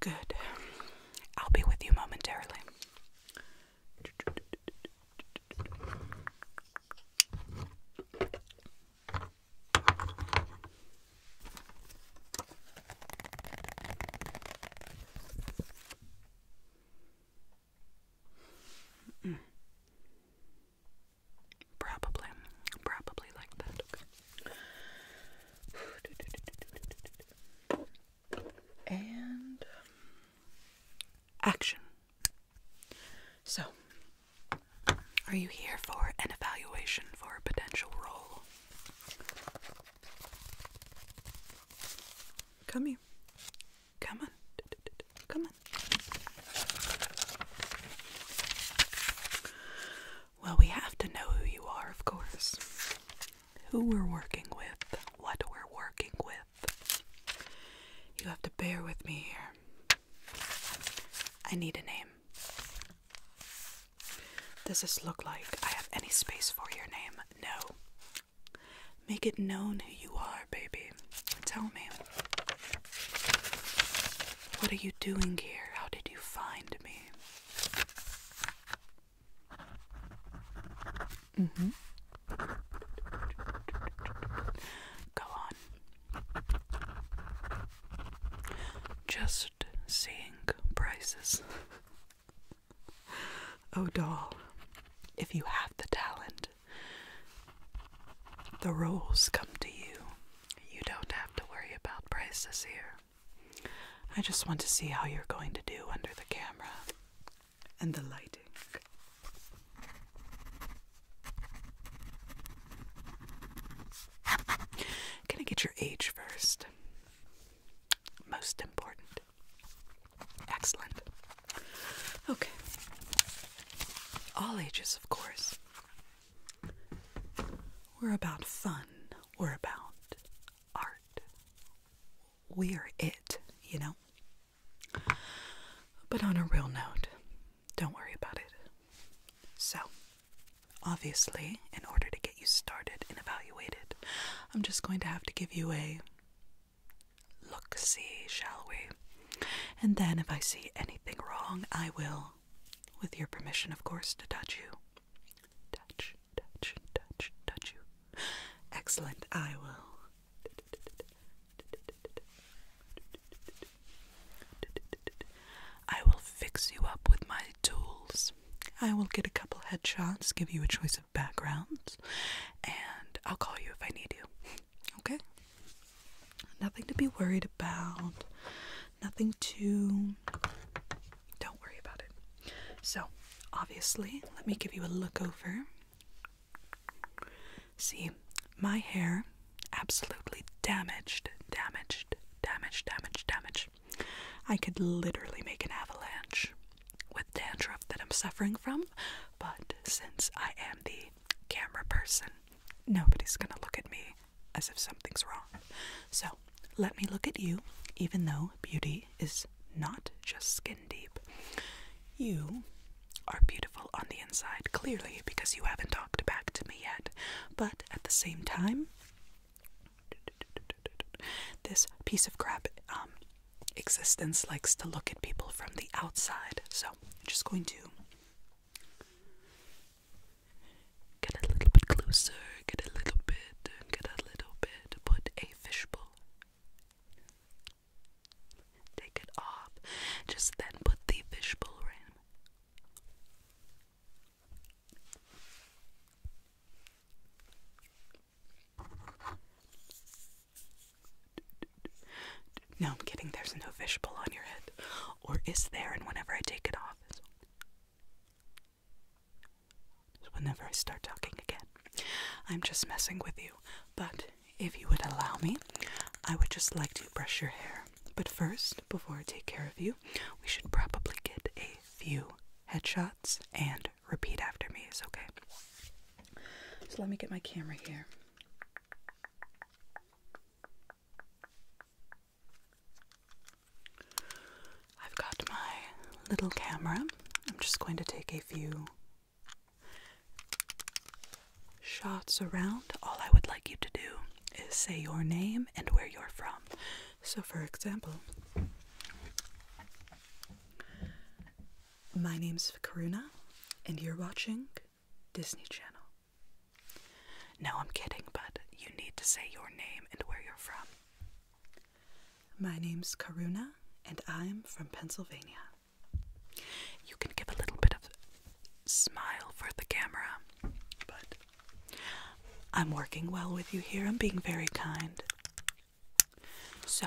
Good. I'll be with you momentarily. Probably, probably like that. Okay. And um, action. So, are you here for an evaluation for a potential role? Come here. Come on. Come on. Well, we have to know who you are, of course. Who we're working with, what we're working with. You have to bear with me here. I need a name. Does this look like I have any space for your name? No. Make it known who you are, baby. Tell me. What are you doing here? How did you find me? Mm hmm. Go on. Just seeing prices. oh, doll, if you have the talent, the roles come to you. You don't have to worry about prices here. I just want to see how you're going to do under the camera and the lighting. Can I get your age first? Most important. Excellent. Okay. All ages, of course. We're about fun. We're about art. We're it, you know? But on a real note, don't worry about it. So, obviously, in order to get you started and evaluated, I'm just going to have to give you a look see, shall we? And then if I see anything wrong, I will, with your permission, of course, to touch you. Touch, touch, touch, touch you. Excellent, I will. I will fix you up with my tools. I will get a couple headshots, give you a choice of backgrounds, and I'll call you if I need you. Okay? Nothing to be worried about. Nothing to. Don't worry about it. So, obviously, let me give you a look over. See, my hair absolutely damaged, damaged, damaged, damaged, damaged. I could literally make an avalanche with dandruff that I'm suffering from, but since I am the camera person, nobody's gonna look at me as if something's wrong. So let me look at you, even though beauty is not just skin deep. You are beautiful on the inside, clearly, because you haven't talked back to me yet. But at the same time, this piece of crap um, existence likes to look at people from the outside. So I'm just going to get a little bit closer, get a little bit, get a little bit, put a fishbowl. Take it off. Just then put the fishbowl in. No, I'm kidding. There's no fishbowl on your head. Or is there? And whenever I take it off, whenever I start talking again. I'm just messing with you. But if you would allow me, I would just like to brush your hair. But first, before I take care of you, we should probably get a few headshots and repeat after me, is okay? So let me get my camera here. I've got my little camera. I'm just going to take a few shots around. All I would like you to do is say your name and where you're from. So, for example, my name's Karuna, and you're watching Disney Channel. No, I'm kidding, but you need to say your name and where you're from. My name's Karuna, and I'm from Pennsylvania. You can give a little bit of smile for the camera, but I'm working well with you here. I'm being very kind. So,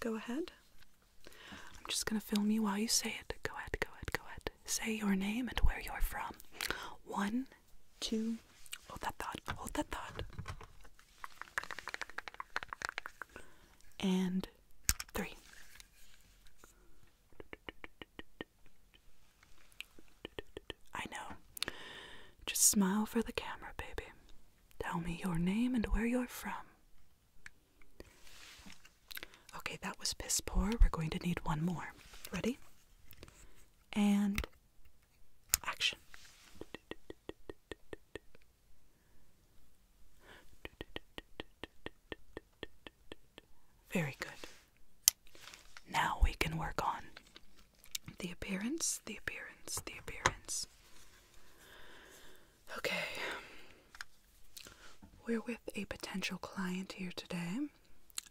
go ahead. I'm just gonna film you while you say it. Go ahead, go ahead, go ahead. Say your name and where you're from. One, two, hold that thought, hold that thought. And three. I know. Just smile for the camera, baby. Tell me your name and where you're from. Okay, that was piss poor. We're going to need one more. Ready? And action. Very good. Now we can work on the appearance, the appearance, the appearance. Okay. We're with a potential client here today.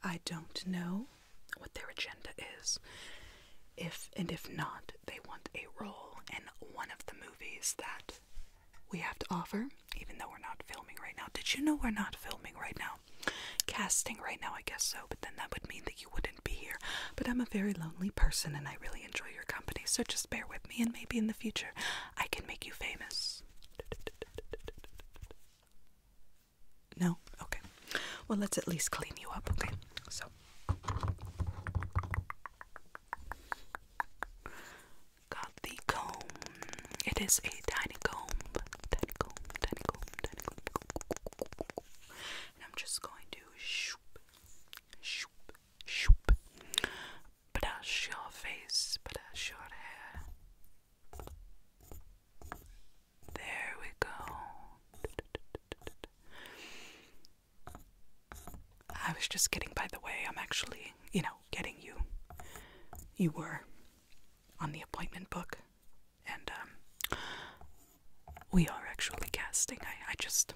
I don't know what their agenda is. If and if not, they want a role in one of the movies that we have to offer, even though we're not filming right now. Did you know we're not filming right now? Casting right now, I guess so, but then that would mean that you wouldn't be here. But I'm a very lonely person and I really enjoy your company, so just bear with me, and maybe in the future I can make you famous. No? Okay. Well, let's at least clean you up, okay? So. Got the comb. It is a tiny comb. Tiny comb, tiny comb, tiny comb. I'm just going to shoop, shoop, Shoop. Brush your face, brush your hair. There we go. I was just kidding, by the way. I'm actually, you know, getting you. You were on the appointment book, and um, we are actually casting. I just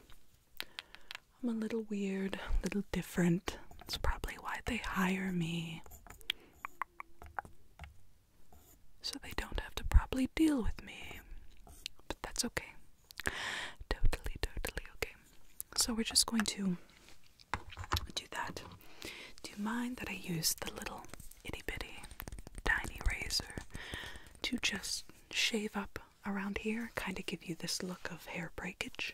I'm a little weird, a little different. That's probably why they hire me. So they don't have to probably deal with me. But that's okay. Totally, totally okay. So we're just going to do that. Do you mind that I use the little itty bitty tiny razor to just shave up around here? Kind of give you this look of hair breakage.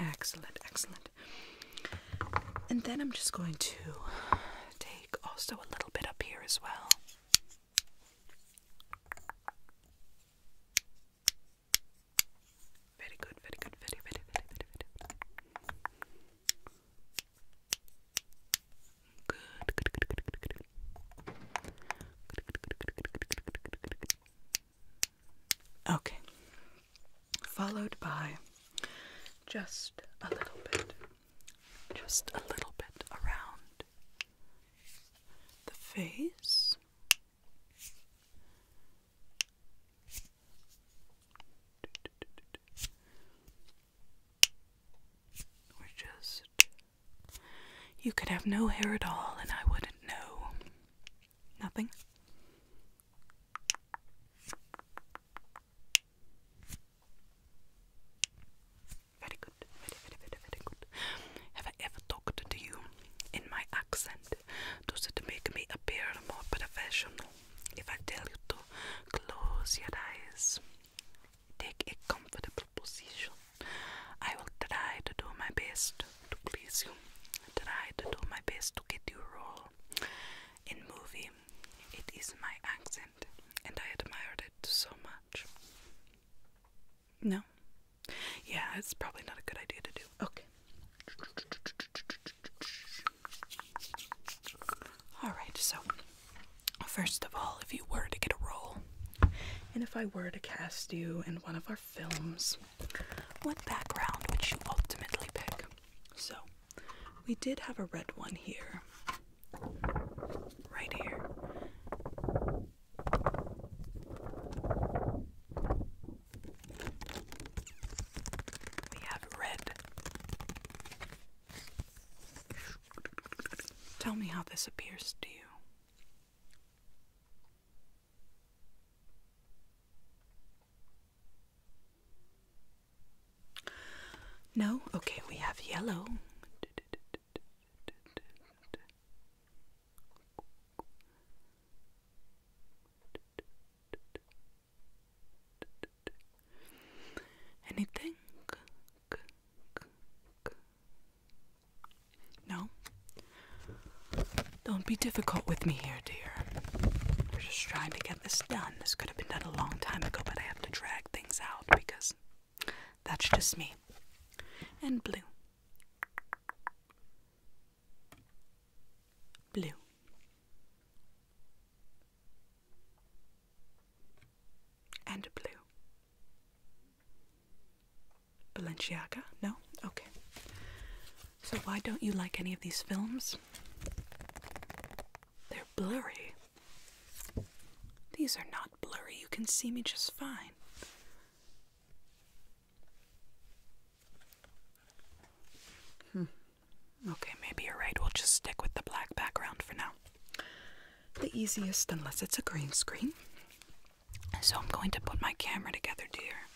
Excellent, excellent. And then I'm just going to take also a little bit up here as well. Very good, very good, very, very, very, very, very. Okay. Followed by just a little bit, just a little bit around the face. Or just. You could have no hair at all and I wouldn't know. Nothing? Very good, very, very, very, very good. Have I ever talked to you in my accent? Does it make me appear more professional if I tell you to close your eyes? Take a comfortable position. I will try to do my best to please you. Try to do my best to get you role in movie. It is my accent, and I admired it so much. No, yeah, it's probably not a good idea to do. Okay. Alright, so first of all, if you were to get a role, and if I were to cast you in one of our films, what background would you ultimately pick? So, we did have a red one here. Right here. We have red. Tell me how this appears to you. No? Okay, we have yellow. Anything? No? Don't be difficult with me here, dear. We're just trying to get this done. This could have been done a long time ago, but I have to drag things out because that's just me. And blue. Blue and blue. Balenciaga? No? Okay. So, why don't you like any of these films? They're blurry. These are not blurry. You can see me just fine. Hmm. Okay, maybe you're right. We'll just stick with the black background for now. The easiest, unless it's a green screen. So I'm going to put my camera together, dear.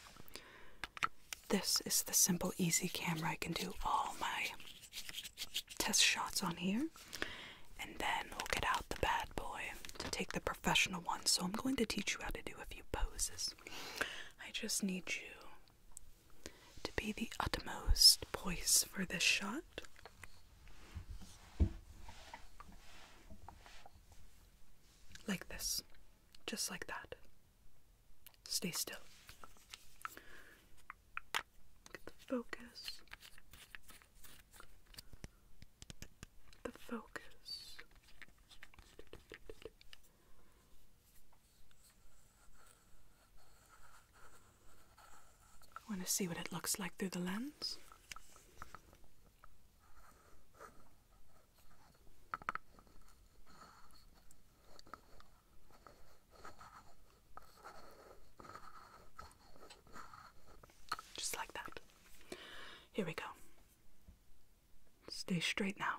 This is the simple, easy camera. I can do all my test shots on here. And then we'll get out the bad boy to take the professional one. So I'm going to teach you how to do a few poses. I just need you to be the utmost poise for this shot. Like this, just like that. Stay still. Get the focus. The focus. Want to see what it looks like through the lens? Just like that. Here we go. Stay straight now.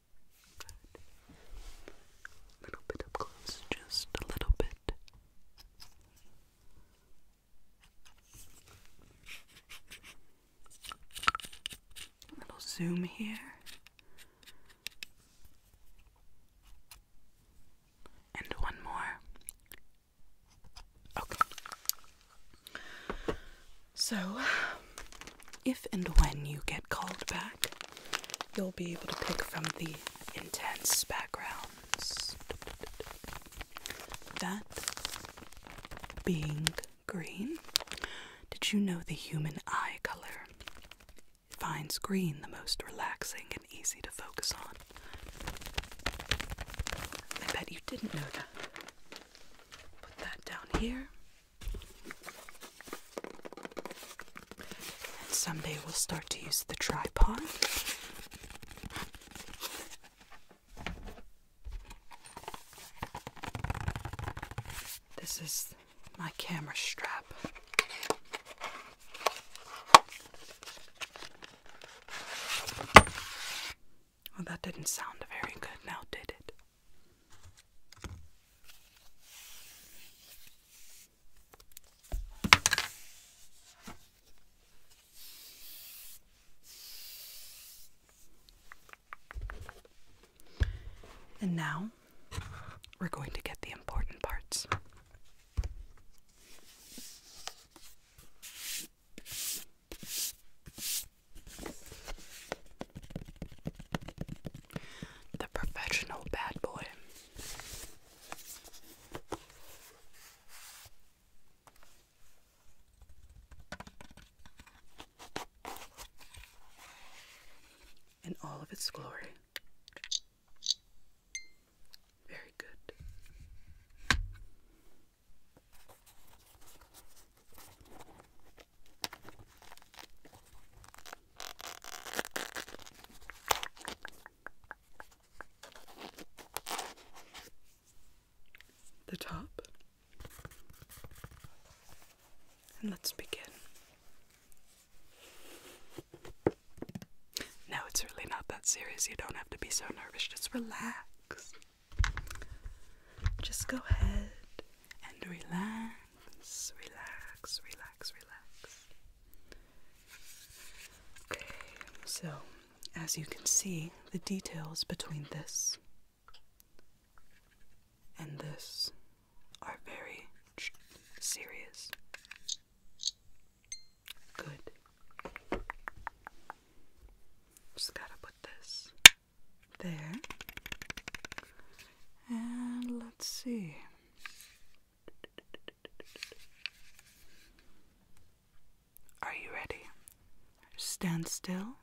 A little bit up close, just a little bit. A little zoom here. And one more. Okay. So, if and when you get called back you'll be able to pick from the intense backgrounds. That being green. Did you know the human eye color finds green the most relaxing and easy to focus on? I bet you didn't know that. Put that down here. And someday we'll start to use the tripod. This is my camera strap. Well, that didn't sound very good now, did it? And now we're going to get the important parts. The professional bad boy in all of its glory. Very good the top. And let's begin. No, it's really not that serious. You don't have to be so nervous. Just relax. Just go ahead and relax relax, relax, relax, Okay, so as you can see, the details between this and this are very serious. Good. Just gotta put this there. And let's see. Are you ready? Stand still.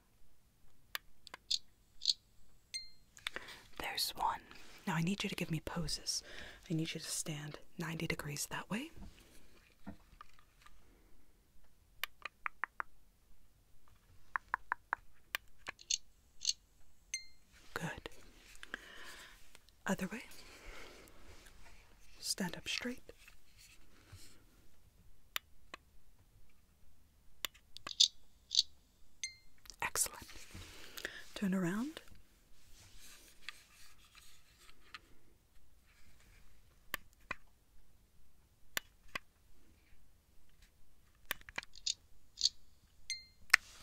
There's one. Now I need you to give me poses. I need you to stand 90 degrees that way. Good. Other way. Stand up straight. Excellent. Turn around.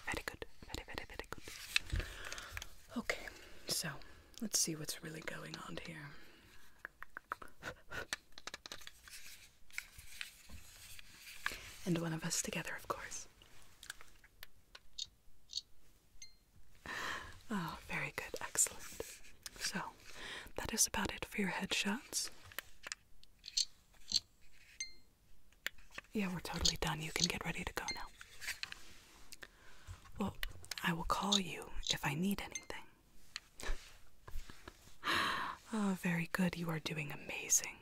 Very good. Very, very, very good. Okay, so let's see what's really going on here. and one of us together, of course. Oh, very good. Excellent. So, that is about it for your headshots. Yeah, we're totally done. You can get ready to go now. Well, I will call you if I need anything. oh, very good. You are doing amazing.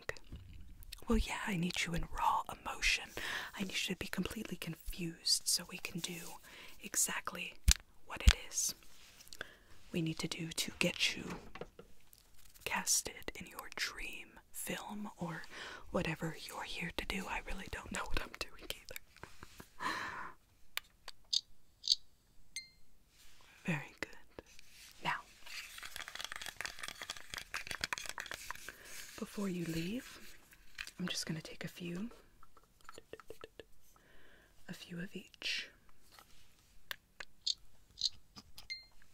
Well, yeah, I need you in raw emotion. I need you to be completely confused so we can do exactly what it is we need to do to get you Cast it in your dream film or whatever you're here to do. I really don't know what I'm doing either. Very good. Now, before you leave, I'm just going to take a few a few of each.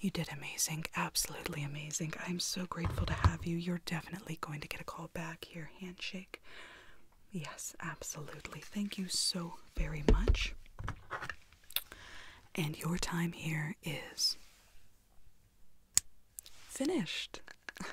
You did amazing, absolutely amazing. I'm so grateful to have you. You're definitely going to get a call back here. Handshake. Yes, absolutely. Thank you so very much. And your time here is finished.